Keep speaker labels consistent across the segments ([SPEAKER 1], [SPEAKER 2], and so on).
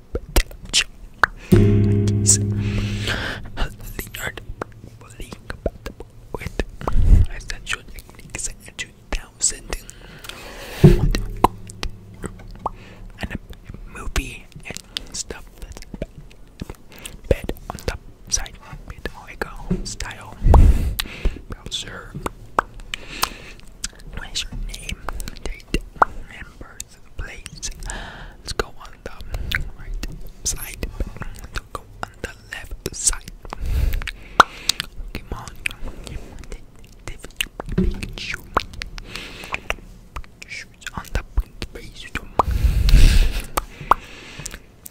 [SPEAKER 1] Leonard with essential techniques in 2000 and a movie and stuff that's bed on the side bed echo style browser what is your name date member Let's go on the right side. Let's go on the left side. Come on. on the base.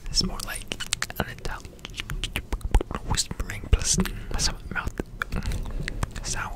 [SPEAKER 1] It's more like an adult whispering plus some mouth sound.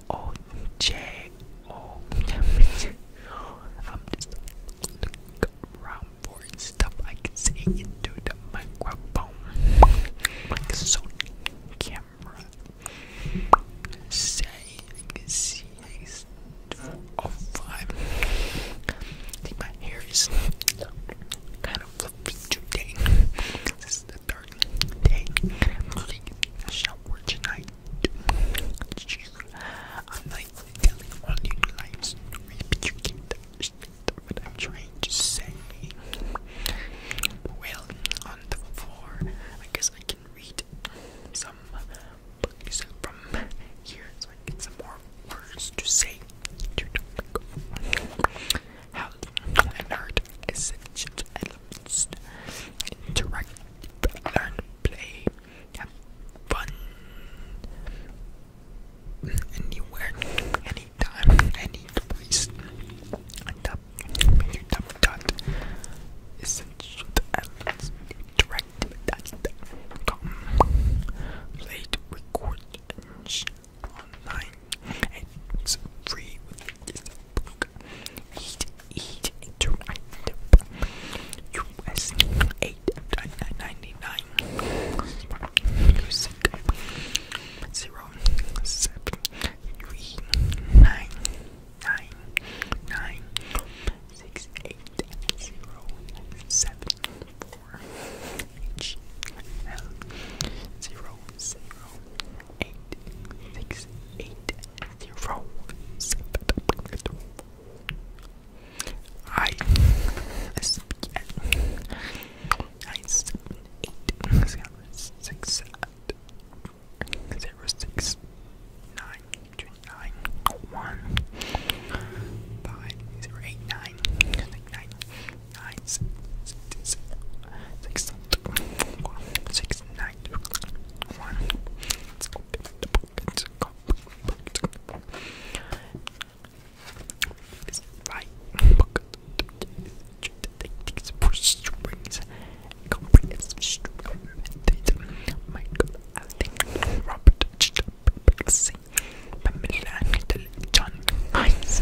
[SPEAKER 1] O J O. I'm just looking around for stuff I can say into the microphone, like so camera. Say I can see oh five. I think my hair is kind of fluffy today. This is the third day. I'm taking a shower tonight. I'm like telling all you lies, but you can't understand what I'm trying to say. Well, on the floor, I guess I can read some books from here so I get some more words to say how nerd essential elements interact, learn, play, have fun anywhere, anytime, any place. Dot, dot, essential elements interact, dot, play, record, online. And it's free with this book. Eat, eat, interact. US eight ninety nine. Music zero seven three nine nine nine six eight zero seven four H L zero zero eight six eight zero seven. I speak nine seven eight zero six zero six nine two nine one five zero eight nine nine nine six six six six nine one. Let's go the pocket. It's right pocket. Takes for strings. Comprehensive string Michael Alden, Robert Pixie, Pamela Little, John Hines,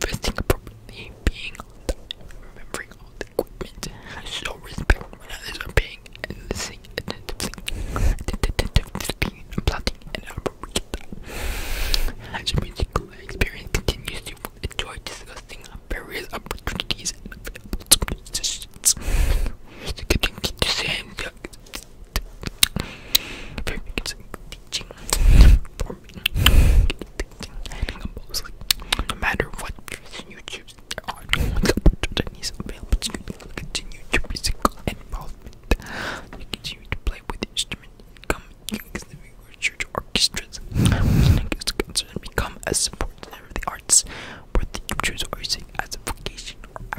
[SPEAKER 1] Investing appropriately, being on time, remembering all the equipment, I show respect when others are paying, and listening attentively, and plotting and appropriate. As your musical experience continues, you will enjoy discussing various opportunities and available solutions. To continue to say, teaching for me. Handing them mostly. No matter what version you choose, there are no opportunities available to you. will continue to be physical involvement. You continue to play with the instrument. You come to the church orchestras. Music is considered become a support for the arts, whether you choose or sing as a vocation or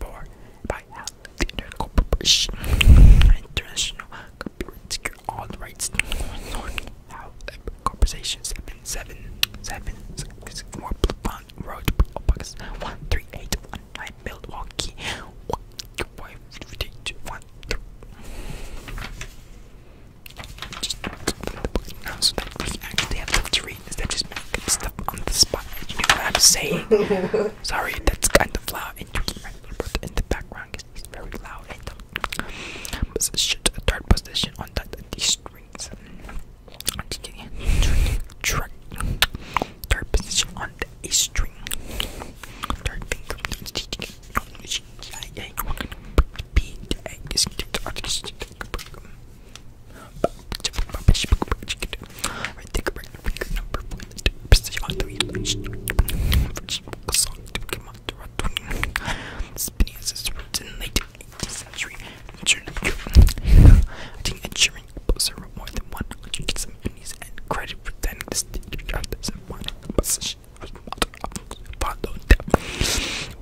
[SPEAKER 1] for by Corporation International Corporate Secure All Rights. However, corporations seven seven seven six more Blunt Road Box one three eight one nine Milwaukee one five three two one three. Just the book now so that we actually have time to read is that just make stuff on the spot. You know what I'm saying? Sorry, that's kind of loud. And you keep my little brother in the background because he's very loud. And third position on the, these strings. Third position on the A string. Third finger Spinning is written in late 18th century. I think ensuring composer wrote more than one hundred symphonies and credit for then the stage of this one composition was followed up.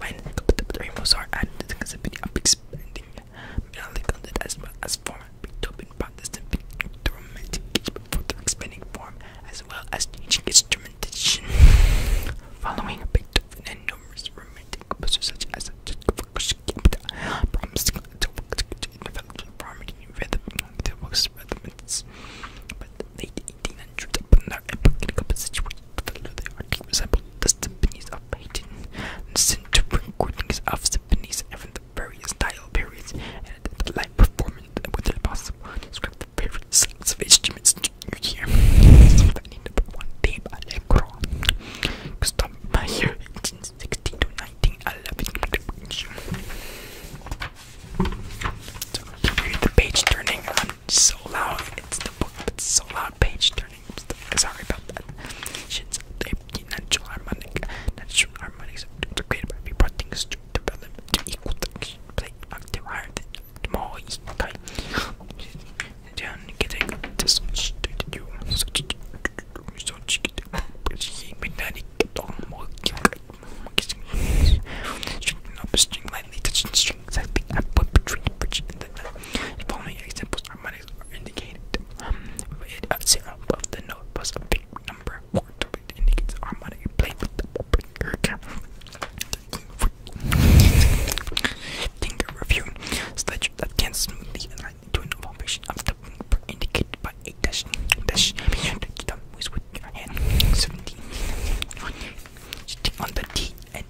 [SPEAKER 1] When contemporary Mozart added the possibility of expanding Lord. May I it as well as form, picked up in Protestant the romantic for the expanding form, as well as changing instrumentation. Following Beethoven and numerous romantic composers such as promising to work developed harmony rhythm the But the late 1800s upon their epoch in composition, the art resemble the symphonies of Haydn, and sent recordings of symphonies and the various style periods, and the live performance with the possible describe the various sorts of instruments you hear. Symphony number one, theme Allegro, custom by year 1860 to 1911. So, the page turning, I'm so loud, it's the book, it's so loud, page turning learning. Sorry about that. Since they natural harmonic, natural harmonics created by reportings to develop to equal the play active higher than more kind. Then getting this to do such such mechanic more String up string lightly touching strings that be between bridge and the following examples are antibodies are indicated. it, uh, above the nose plus a big number four to it indicates harmonic play with the breaker. Finger review. Sledge that can smoothly align to an formation of the finger indicated by a dash dash. Thumb with your hand. Seventeen. Sitting on the T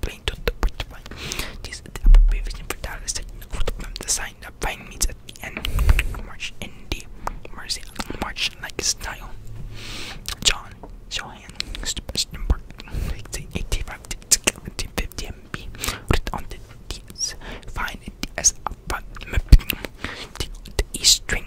[SPEAKER 1] Playing to the bridge This is the abbreviation for Dallas the sign that fine means at the end. March in the Mercy March like style. John Johan Stupenberg eighty five seventy fifty MB writ on the DS find the DS the E string